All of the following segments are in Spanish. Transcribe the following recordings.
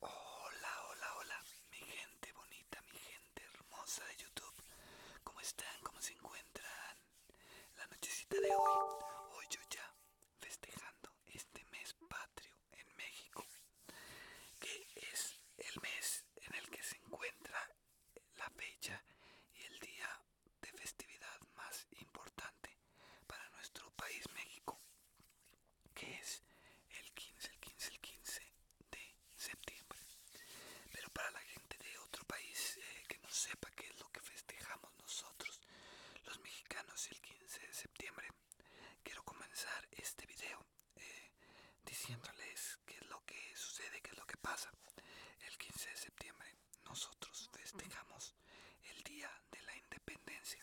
Hola, hola, hola, mi gente bonita, mi gente hermosa de YouTube. ¿Cómo están? ¿Cómo se encuentran? La nochecita de hoy, hoy yo ya festejando este mes patrio en México, que es el mes en el que se encuentra la fecha y el día de festividad más importante para nuestro país México que es el 15, el 15, el 15 de septiembre. Pero para la gente de otro país eh, que no sepa qué es lo que festejamos nosotros, los mexicanos, el 15 de septiembre, quiero comenzar este video eh, diciéndoles qué es lo que sucede, qué es lo que pasa. El 15 de septiembre nosotros festejamos el día de la independencia,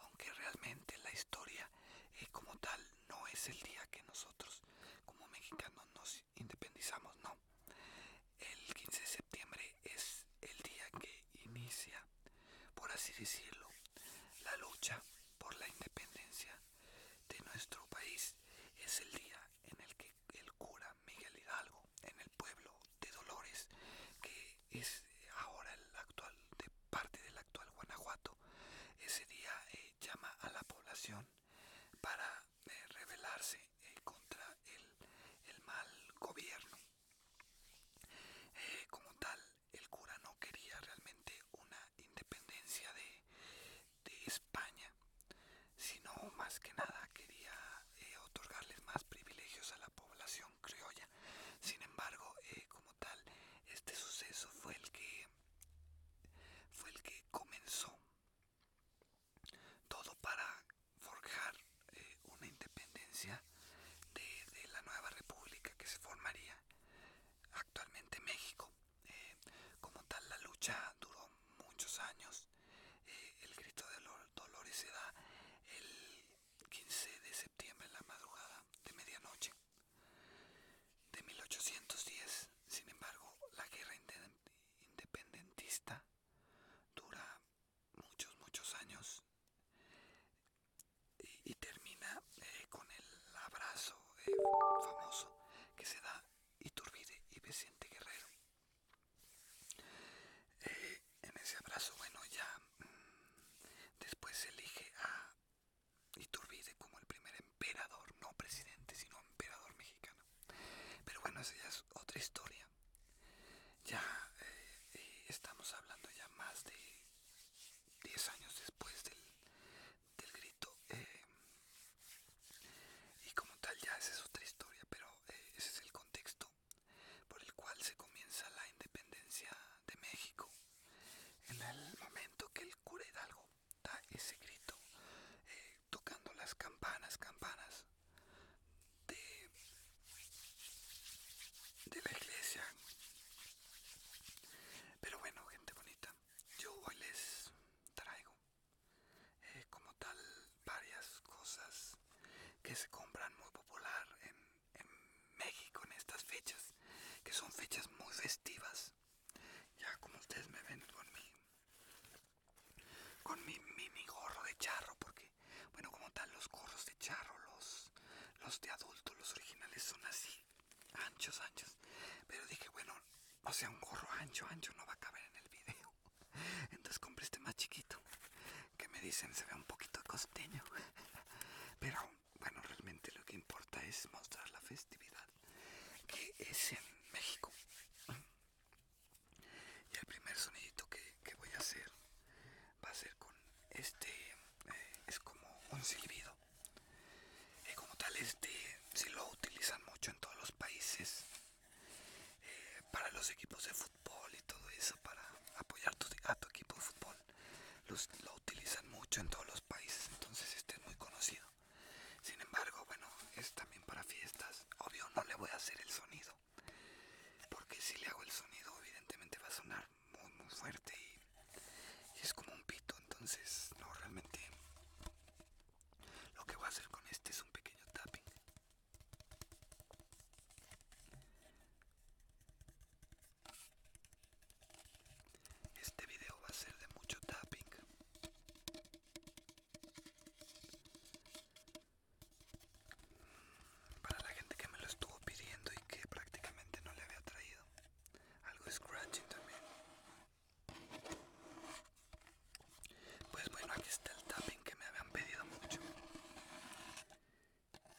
aunque realmente la historia es eh, como tal no es el día que nosotros como mexicanos nos independizamos, no. El 15 de septiembre es el día que inicia, por así decirlo, la lucha por la independencia de nuestro país. Es el día en el que el cura Miguel Hidalgo, en el pueblo de Dolores, que es ahora el actual, de parte del actual Guanajuato. Ese día eh, llama a la población para eh, rebelarse eh, contra el, mal gobierno. como tal, el cura no quería realmente una independencia de, de España, sino más que nada quería otorgarles más privilegios a la población criolla. Sin embargo, eh, como tal, este suceso fue el que fue el que comenzó todo para forjar eh, una independencia de, la nueva república que se formaría actualmente México. Eh, como tal, la lucha duró muchos años. el grito de los dolores se da el 15 de septiembre en la madrugada de medianoche de 1810. Sin embargo, la guerra independentista dura muchos, muchos años y, termina eh, con el abrazo eh, famoso que se da Iturbide y Vicente Guerrero. Eh, en ese abrazo, bueno, ya mm, después se elige a Iturbide como el primer emperador, no presidente, sino emperador mexicano. Pero bueno, esa ya es otra historia. Ya eh, eh, estamos hablando ya más de 10 años después del, grito. Eh, y como tal, ya esa es otra historia, pero ese es el contexto por el cual se comienza la independencia de México. En el momento que el cura Hidalgo da ese grito, eh, tocando las campanas, campanas de, de la iglesia. Pero bueno, gente bonita, yo hoy les traigo eh, como tal varias cosas que se compran muy popular en en México en estas fechas, que son fechas muy festivas. Ya como ustedes me ven con mi, con mi, mi, gorro de charro, porque, bueno, como tal, los gorros de charro, los, los de adulto, los originales son así, anchos, anchos. Pero dije, bueno, o sea, un gorro ancho, ancho no va a caber en el video. Entonces compré este más chiquito que me dicen se ve un poquito costeño. Pero bueno, realmente lo que importa es mostrar la festividad que es en México. Y el primer sonidito que, voy a hacer va a ser con este, eh, es como un silbido. y como tal, este si lo utilizan mucho en todos los países eh, para los equipos de fútbol y todo eso para apoyar tu, a tu equipo de fútbol. lo utilizan mucho en todos los países, entonces este es muy conocido. Sin embargo, bueno, es también para fiestas. Obvio, no le voy a hacer el sonido. Porque si le hago el sonido, evidentemente va a sonar muy, muy fuerte y, y es como un pito. Entonces, no, realmente lo que voy a hacer con este es un pequeño tapping. Este video va a ser de mucho tapping. Para la gente que me lo estuvo pidiendo y que prácticamente no le había traído. Algo scratching también. Pues bueno, aquí está el tapping que me habían pedido mucho.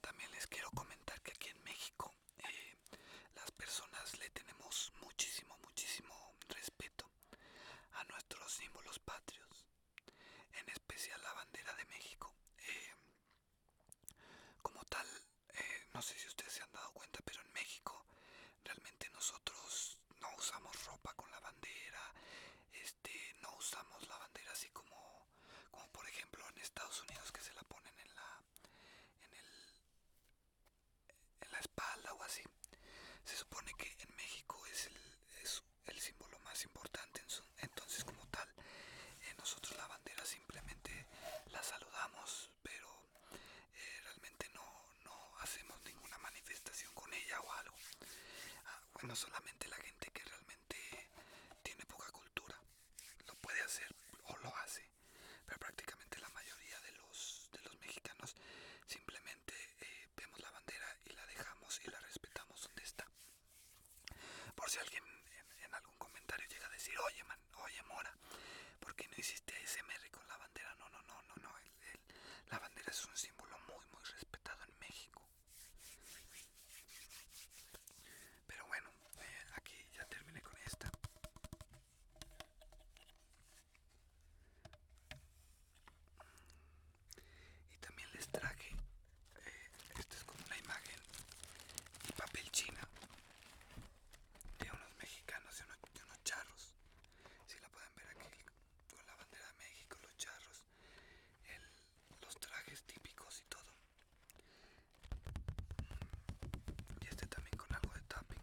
También les quiero comentar que aquí en México eh, las personas le tenemos muchísimo, muchísimo respeto a nuestros símbolos patrios, en especial la bandera de México. Eh, como tal, eh, no sé si ustedes se han dado cuenta, pero en México realmente nosotros no usamos ropa con la bandera, este, no usamos la bandera así como, como por ejemplo en Estados Unidos que se la ponen en la, en la espalda o así. Se supone que en México es el, símbolo más importante, entonces como tal, eh, nosotros la bandera simplemente la saludamos, pero eh, realmente no, hacemos ninguna manifestación con ella o algo. Ah, bueno, solamente la gente que realmente tiene poca cultura lo puede hacer o lo hace, pero prácticamente la mayoría de los, mexicanos simplemente eh, vemos la bandera y la dejamos y la respetamos donde está. Por si alguien en, algún comentario llega a decir, oye, man, oye, mora, ¿por qué no hiciste ASMR con la bandera? No, no, no, no, no, la bandera es un símbolo muy, muy respetado en México. Pero bueno, eh, aquí ya terminé con esta. Y también les traje, eh, esta es como una imagen y papel china de unos mexicanos, de de unos charros. Si la pueden ver aquí con la bandera de México, los charros, los trajes típicos y todo. Y este también con algo de tapping.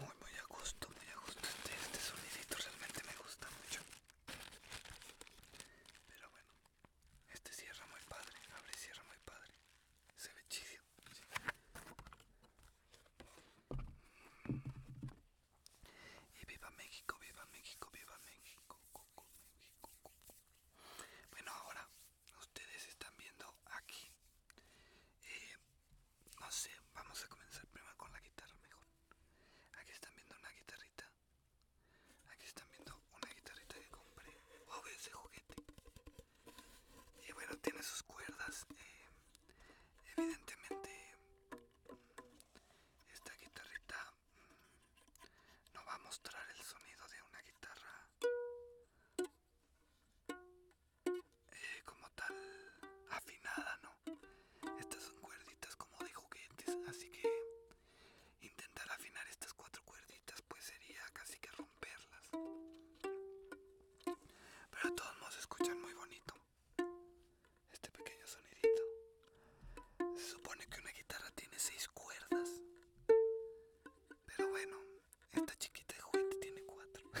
Muy muy a gusto, me a este, este realmente me gusta mucho. Pero bueno, este cierra muy padre, abre y cierra muy padre. Se ve chido. Y viva México, viva México, viva México. Bueno, ahora ustedes están viendo aquí eh, no sé, vamos a comenzar primero con la guitarra mejor. Aquí están viendo una guitarrita. Aquí están viendo una guitarrita que compré. juguete. Y bueno, tiene sus cuerdas. Eh, evidentemente, esta guitarrita mm, no va a mostrar el sonido de una guitarra eh, como tal afinada, ¿no? Estas son cuerditas como de juguetes, así que intentar afinar estas cuatro cuerditas pues sería casi que romperlas. Pero de todos modos escuchan muy bonito este pequeño sonidito. Se supone que una guitarra tiene seis cuerdas. Pero bueno, esta chiquita de juguete tiene cuatro.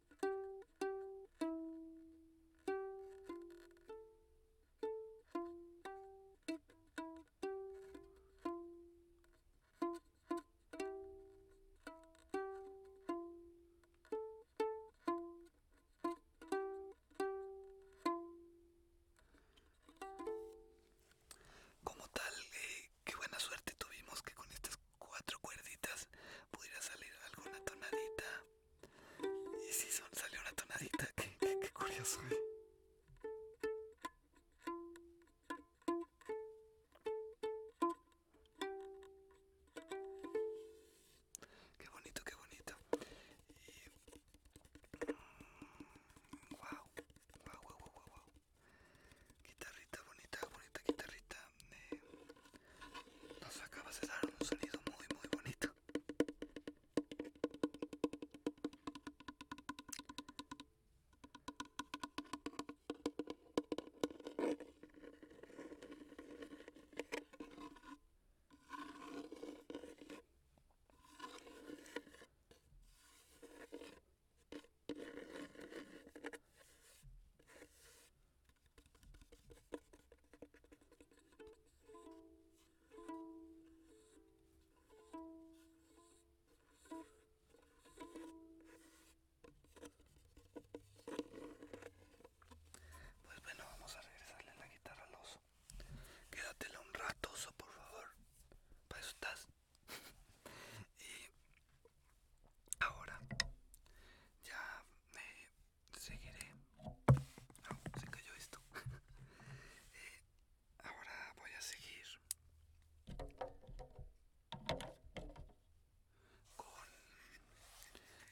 Como tal, eh, qué buena suerte tuvimos que con estas cuatro cuerditas pudiera salir alguna tonadita. Y si salió una tonadita, qué, curioso. ¿eh? Qué bonito, qué bonito. wow, wow, wow, wow. Guitarrita bonita, bonita guitarrita. Eh, nos acabas de dar un sonido muy, muy bonito. Pues bueno, vamos a regresarle la guitarra al oso. Quédatela un rato, oso, por favor. Para eso estás y ahora ya me seguiré. Ah, se cayó esto. Eh, ahora voy a seguir con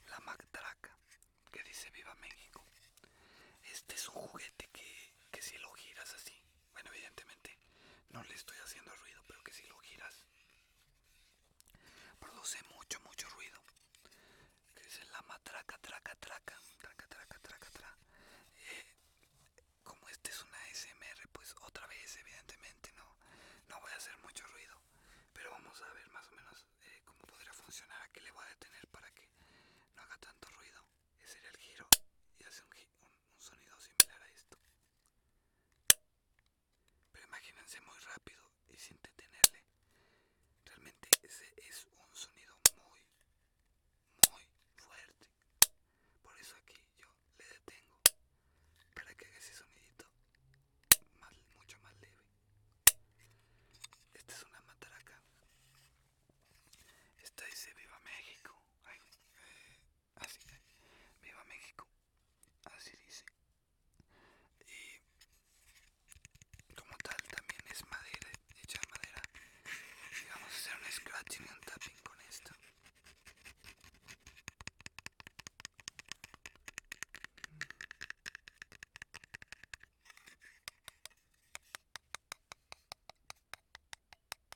la Magtraca que dice Viva México. Este es un juguete que, que si lo giras así, bueno, evidentemente no le estoy haciendo ruido, pero que si lo giras Produce mucho, mucho ruido. Que es la matraca, traca, traca, traca, traca, traca, eh, como este es una SMR, pues otra vez, evidentemente, no, no voy a hacer mucho ruido. Pero vamos a ver más o menos eh, cómo podría funcionar. Aquí le voy a detener para que no haga tanto ruido. Ese era el giro y hace un sonido similar a esto. Pero imagínense muy rápido y sin detenerle. Realmente ese es un sonido muy, muy fuerte. Por eso aquí yo le detengo para que haga ese sonidito mucho más leve. Esta es una mataraca. Esta dice Viva México. Eh, Así viva México. Así dice. Y como tal también es madera, hecha madera. Y vamos a hacer un scratching y un tapping con esto.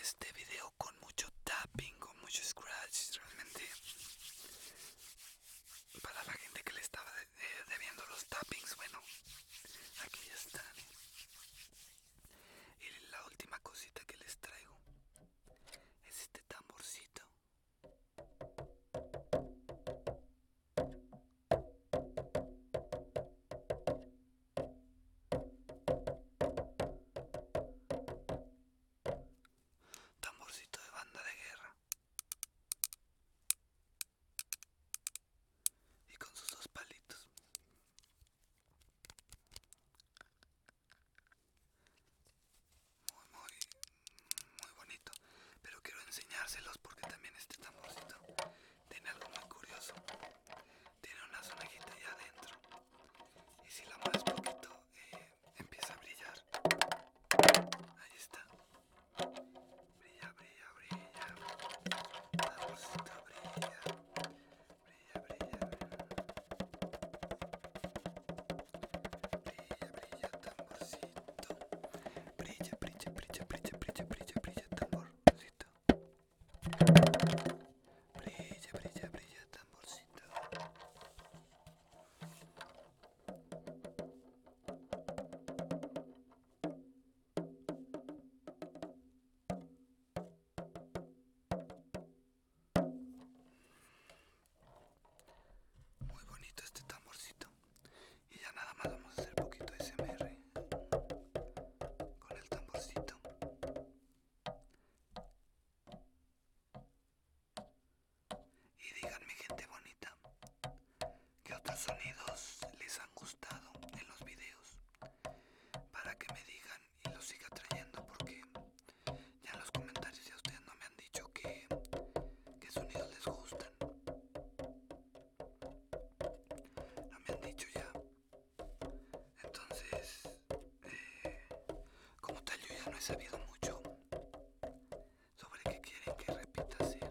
este video con mucho tapping, con mucho scratch, realmente para la gente que le estaba debiendo los tappings, bueno, aquí ya están. Y la última cosita que les traigo es este tamborcito. Tamborcito de banda de guerra. Y con sus dos palitos. Muy, muy, muy bonito. Pero quiero enseñárselos porque también este tamborcito tiene algo muy curioso tiene una sonajita ya adentro y si la mueves poquito eh, empieza a brillar ahí está brilla brilla brilla la brilla. brilla brilla brilla brilla brilla tamborcito brilla brilla brilla brilla brilla brilla brilla tamborcito Brilla, brilla, brilla, tamborcito. Muy bonito este tamborcito. Y ya nada más vamos a hacer poquito SMR con el tamborcito. Y díganme gente bonita, Que otros sonidos les han gustado en los videos? Para que me digan y los siga trayendo porque ya en los comentarios ya ustedes no me han dicho que, qué sonidos les gustan. No me han dicho ya. Entonces, eh, como tal, yo ya no he sabido mucho sobre qué quieren que repita hacer.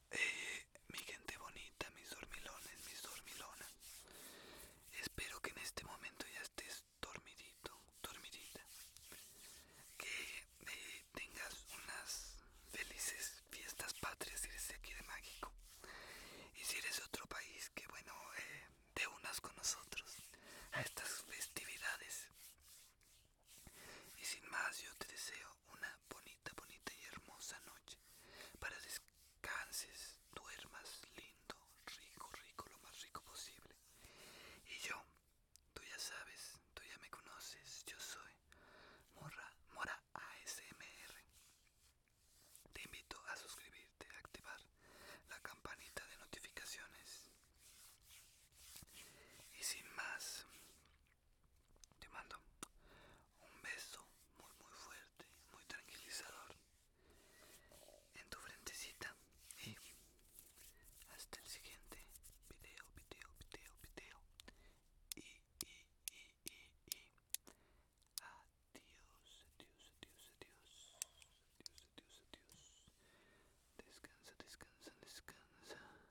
mi gente bonita, mis dormilones, mis dormilonas. Espero que en este momento ya estés dormidito, dormidita. Que eh, tengas unas felices fiestas patrias si eres de aquí de México Y si eres de otro país, que bueno, eh, te unas con nosotros a estas festividades y sin más, yo te deseo una bonita, bonita y hermosa noche. Para descanses, duermas lindo, rico, rico, lo más rico posible. Y yo, tú ya sabes, tú ya me conoces, yo soy Mora, Mora ASMR. Te invito a suscribirte, a activar la campanita de notificaciones. Y sin más, te mando un beso muy muy fuerte, muy tranquilizador en tu frentecita y hasta el siguiente video, video, video, video y y y adiós, adiós, adiós, adiós, adiós, adiós, adiós. Descansa, descansa, descansa.